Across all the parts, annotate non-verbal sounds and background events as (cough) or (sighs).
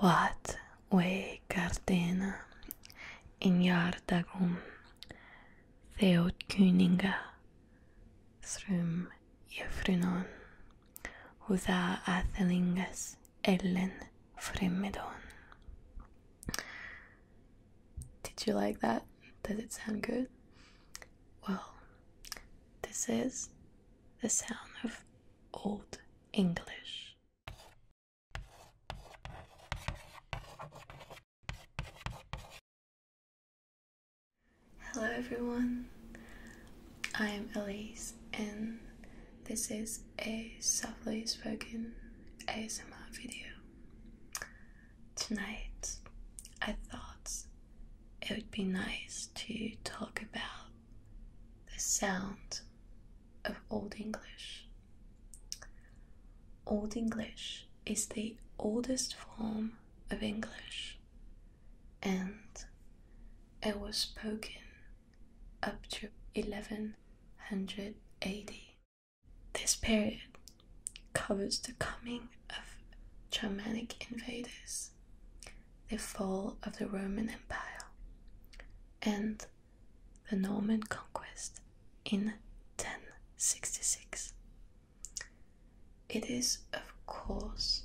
What way garden in Yardagum Theodkuninga Srum Jefrunon Huda Athelingas Ellen Fremmedon Did you like that? Does it sound good? Well, this is the sound of Old English. Hello, everyone. I am Elise, and this is a softly spoken ASMR video. Tonight, I thought it would be nice to talk about the sound of Old English. Old English is the oldest form of English and it was spoken up to 1180. This period covers the coming of Germanic invaders the fall of the Roman Empire, and the Norman conquest in 1066. It is, of course,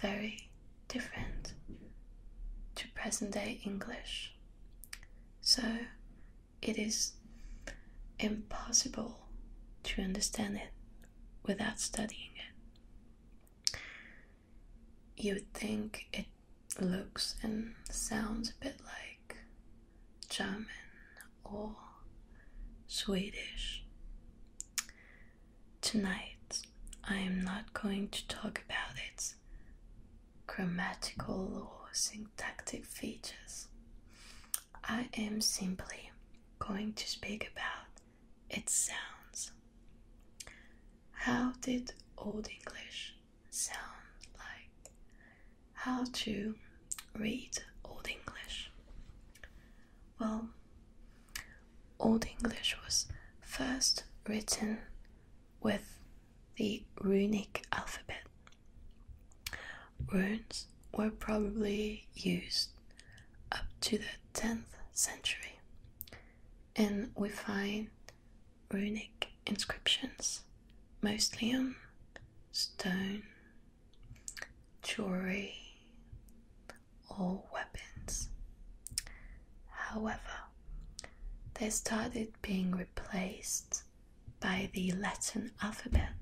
very different to present day English, so it is impossible to understand it without studying it. You would think it looks and sounds a bit like German or Swedish. Tonight, I am not going to talk about its grammatical or syntactic features. I am simply going to speak about its sounds. How did Old English sound like? How to read Old English? Well, Old English was first written with the runic alphabet. Runes were probably used up to the 10th century, and we find runic inscriptions mostly on stone, jewelry, or weapons. However, they started being replaced by the Latin alphabet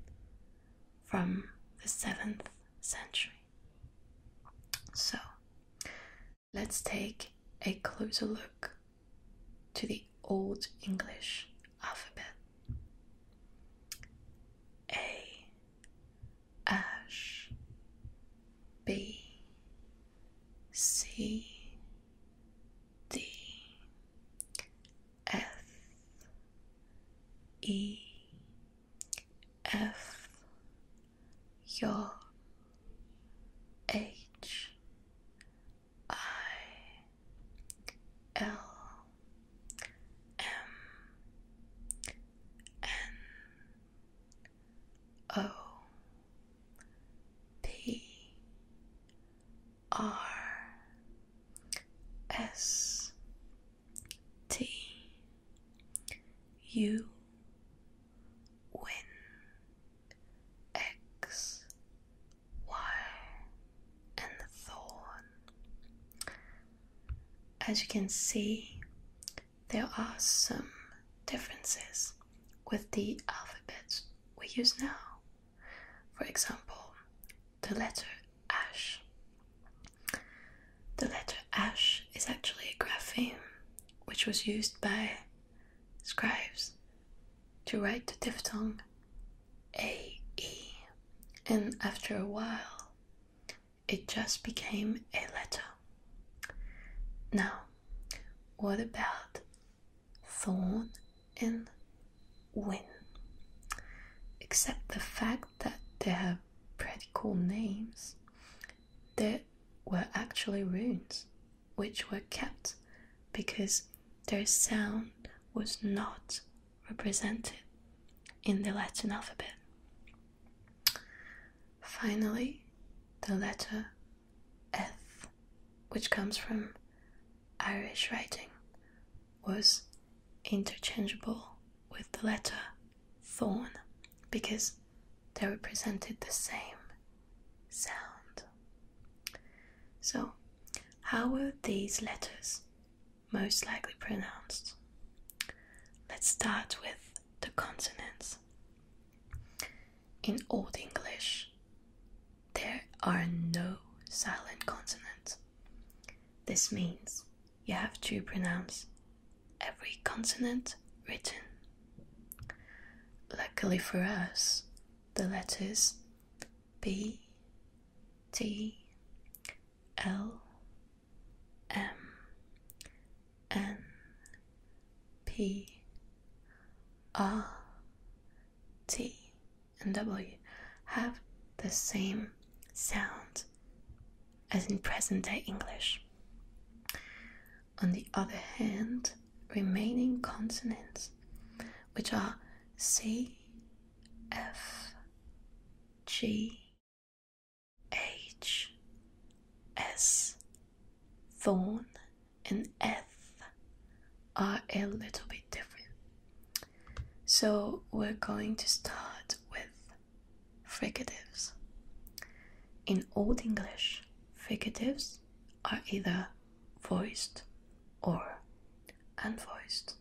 from the 7th century. So let's take a closer look to the Old English alphabet. A B C D S E F your H I L M N O P R S T U and thorn. As you can see, there are some differences with the alphabets we use now. For example, the letter ash. The letter ash is actually a grapheme which was used by scribes to write the diphthong AE, and after a while it just became a letter. Now, what about thorn and when, Except the fact that they have pretty cool names. They were actually runes, which were kept because their sound was not represented in the Latin alphabet. Finally, the letter F, which comes from Irish writing was interchangeable with the letter thorn because they represented the same sound. So, how were these letters most likely pronounced? Let's start with the consonants. In Old English, there are no silent consonants. This means you have to pronounce every consonant written. Luckily for us, the letters B, T, L, M, N, P, R, T, and W have the same sound as in present day English. On the other hand, remaining consonants, which are C, F, G, H, S, Thorn, and F are a little bit different. So we're going to start with fricatives. In Old English, fricatives are either voiced or unvoiced.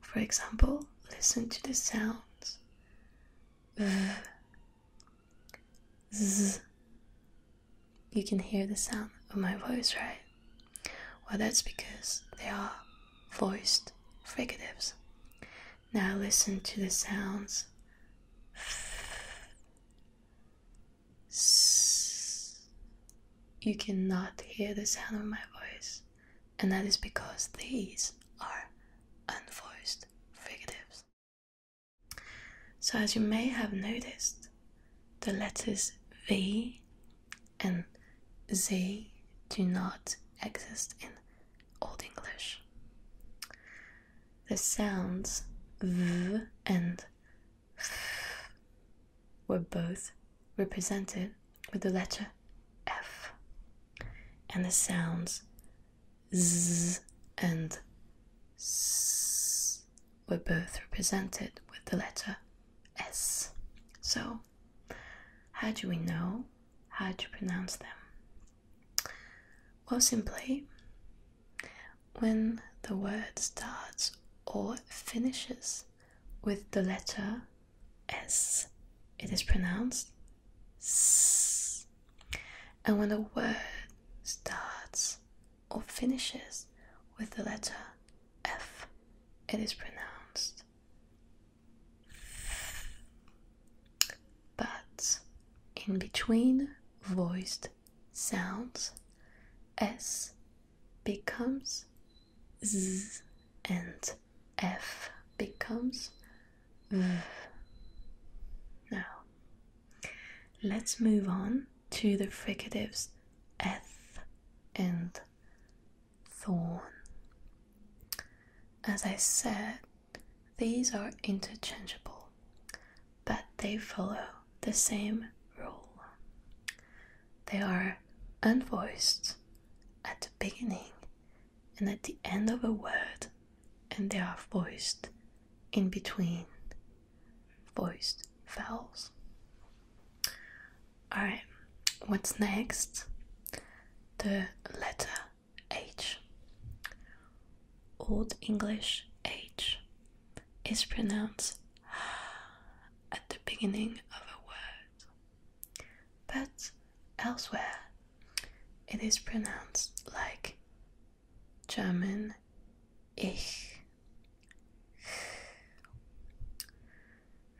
For example, listen to the sounds v, z, you can hear the sound of my voice, right? Well, that's because they are voiced fricatives. Now listen to the sounds. You cannot hear the sound of my voice, and that is because these are unvoiced fricatives. So, as you may have noticed, the letters V and Z do not exist in Old English. The sounds V and F were both represented with the letter F, and the sounds Z and S were both represented with the letter S. So, how do we know how to pronounce them? Well, simply, when the word starts or finishes with the letter S, it is pronounced S. And when the word starts or finishes with the letter F, it is pronounced. But in between voiced sounds, S becomes Z and F becomes V. Now, Let's move on to the fricatives eth and thorn. As I said, these are interchangeable, but they follow the same rule. They are unvoiced at the beginning and at the end of a word and they are voiced in between voiced vowels. Alright, what's next? The letter H. Old English H is pronounced (sighs) at the beginning of a word, but elsewhere it is pronounced like German ich.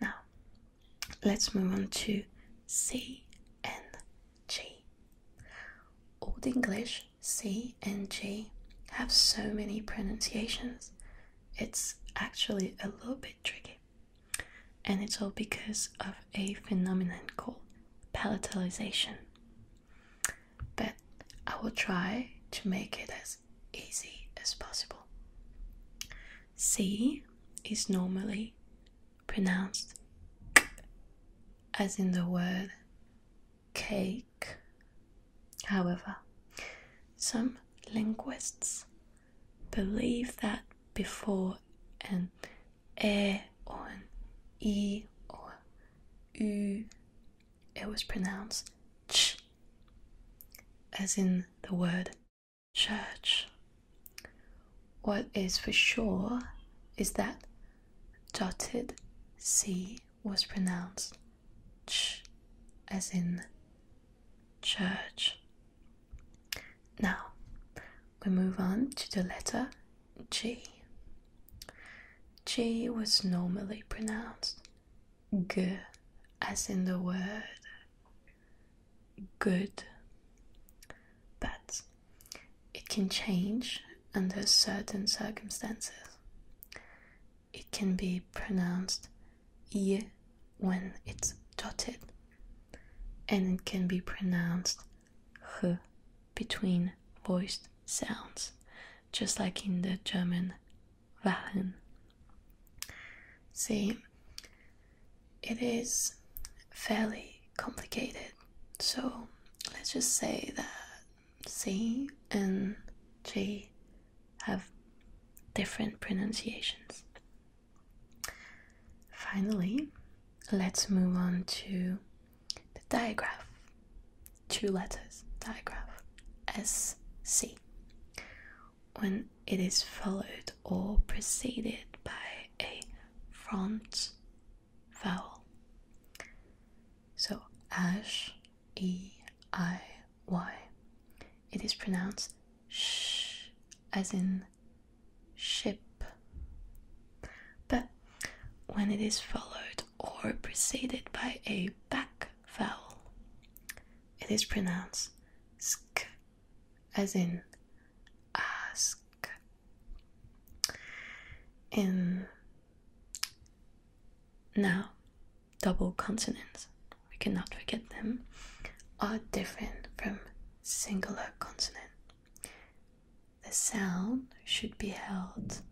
Now, let's move on to C and G. Old English C and G have so many pronunciations, it's actually a little bit tricky. And it's all because of a phenomenon called palatalization but I will try to make it as easy as possible. C is normally pronounced as in the word cake. However, some linguists believe that before and e on e or u. It was pronounced ch, as in the word church. What is for sure is that dotted c was pronounced ch, as in church. Now we move on to the letter G. G was normally pronounced G, as in the word good, but it can change under certain circumstances. It can be pronounced Y when it's dotted, and it can be pronounced h between voiced sounds, just like in the German "Wahlen." See, it is fairly complicated, so let's just say that C and G have different pronunciations. Finally, let's move on to the digraph. Two letters, digraph, SC. When it is followed or preceded by a front vowel. So, ash, E, I, Y. It is pronounced sh as in ship, but when it is followed or preceded by a back vowel, it is pronounced sk, as in ask. now, double consonants, we cannot forget them, are different from singular consonant. The sound should be held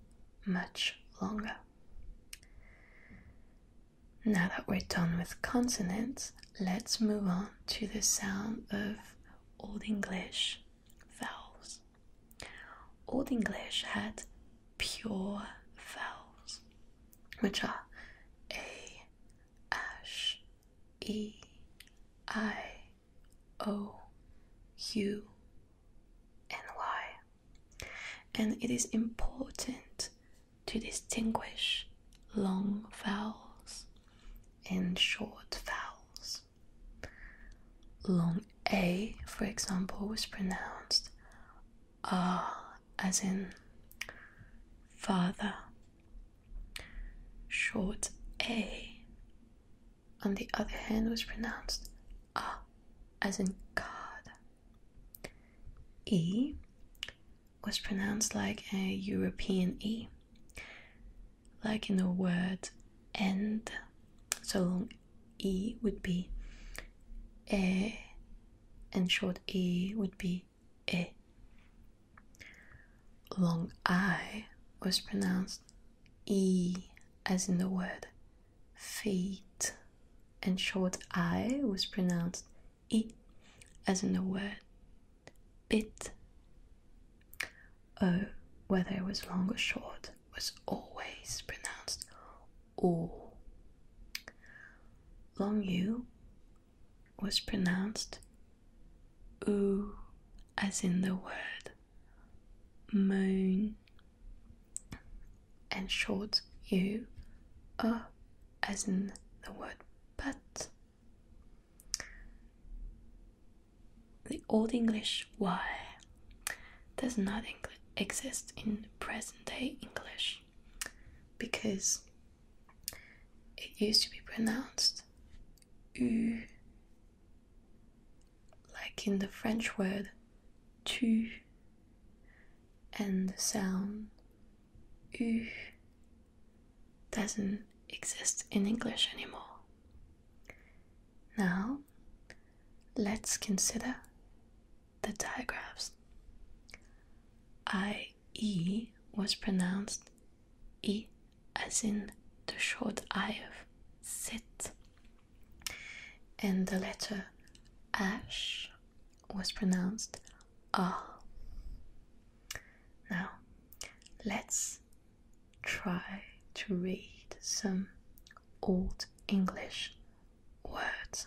much longer. Now that we're done with consonants, let's move on to the sound of Old English vowels. Old English had pure vowels, which are A, ash, and y. And it is important to distinguish long vowels and short vowels. Long a, for example, was pronounced ah, as in father Short A, on the other hand, was pronounced ah, as in God. E was pronounced like a European E, like in the word end. So long E would be a, and short E would be e. Long I was pronounced e, as in the word feet, and short I was pronounced e, as in the word bit. O, whether it was long or short, was always pronounced o. Long U was pronounced oo as in the word moon and short u uh, as in the word but the old english y does not exist in present day english because it used to be pronounced U, like in the French word tu, and the sound U doesn't exist in English anymore. Now, let's consider the digraphs. I E was pronounced E as in the short I of sit, and the letter ash was pronounced ah. Now, let's try to read some old English words.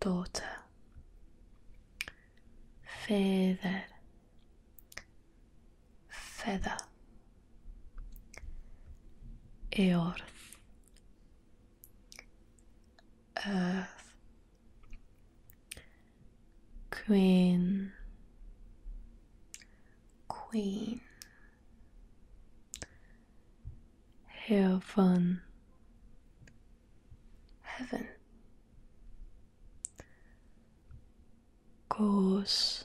daughter, feather, feather, earth, earth, queen, queen, heaven heaven. Goose,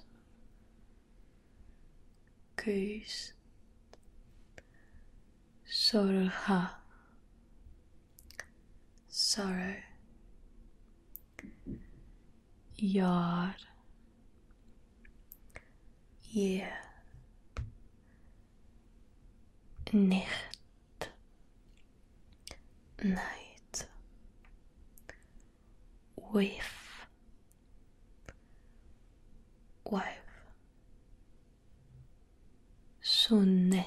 goose, sorrow, sorrow, yard, year, Night. night with wife Sun.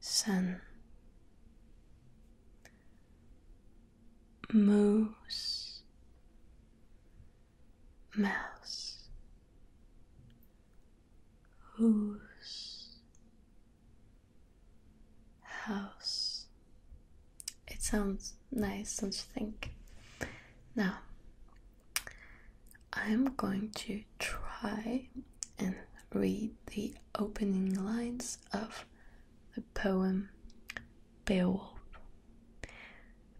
sun moose mouse whose house it sounds nice don't you think now i'm going to try and read the opening lines of the poem Beowulf.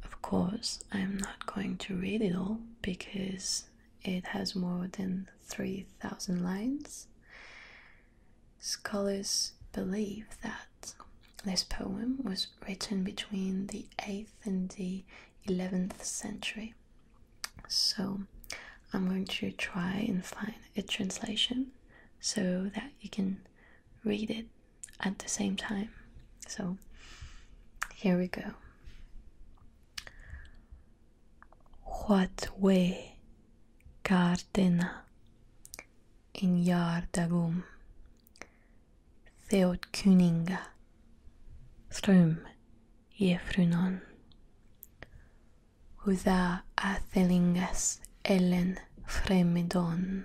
Of course, I'm not going to read it all because it has more than 3,000 lines. Scholars believe that this poem was written between the 8th and the 11th century. So I'm going to try and find a translation so that you can read it at the same time. So here we go. What way gardena in Jardagum Theodkuninga Ström Jefrunan Huda Athelingas Ellen Fremidon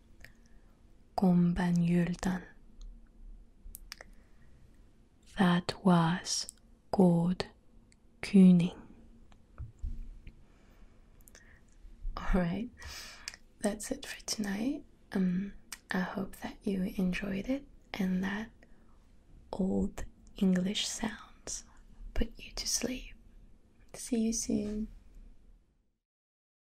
Kom That was God Kuning. Alright, that's it for tonight. Um, I hope that you enjoyed it and that old English sounds put you to sleep. See you soon.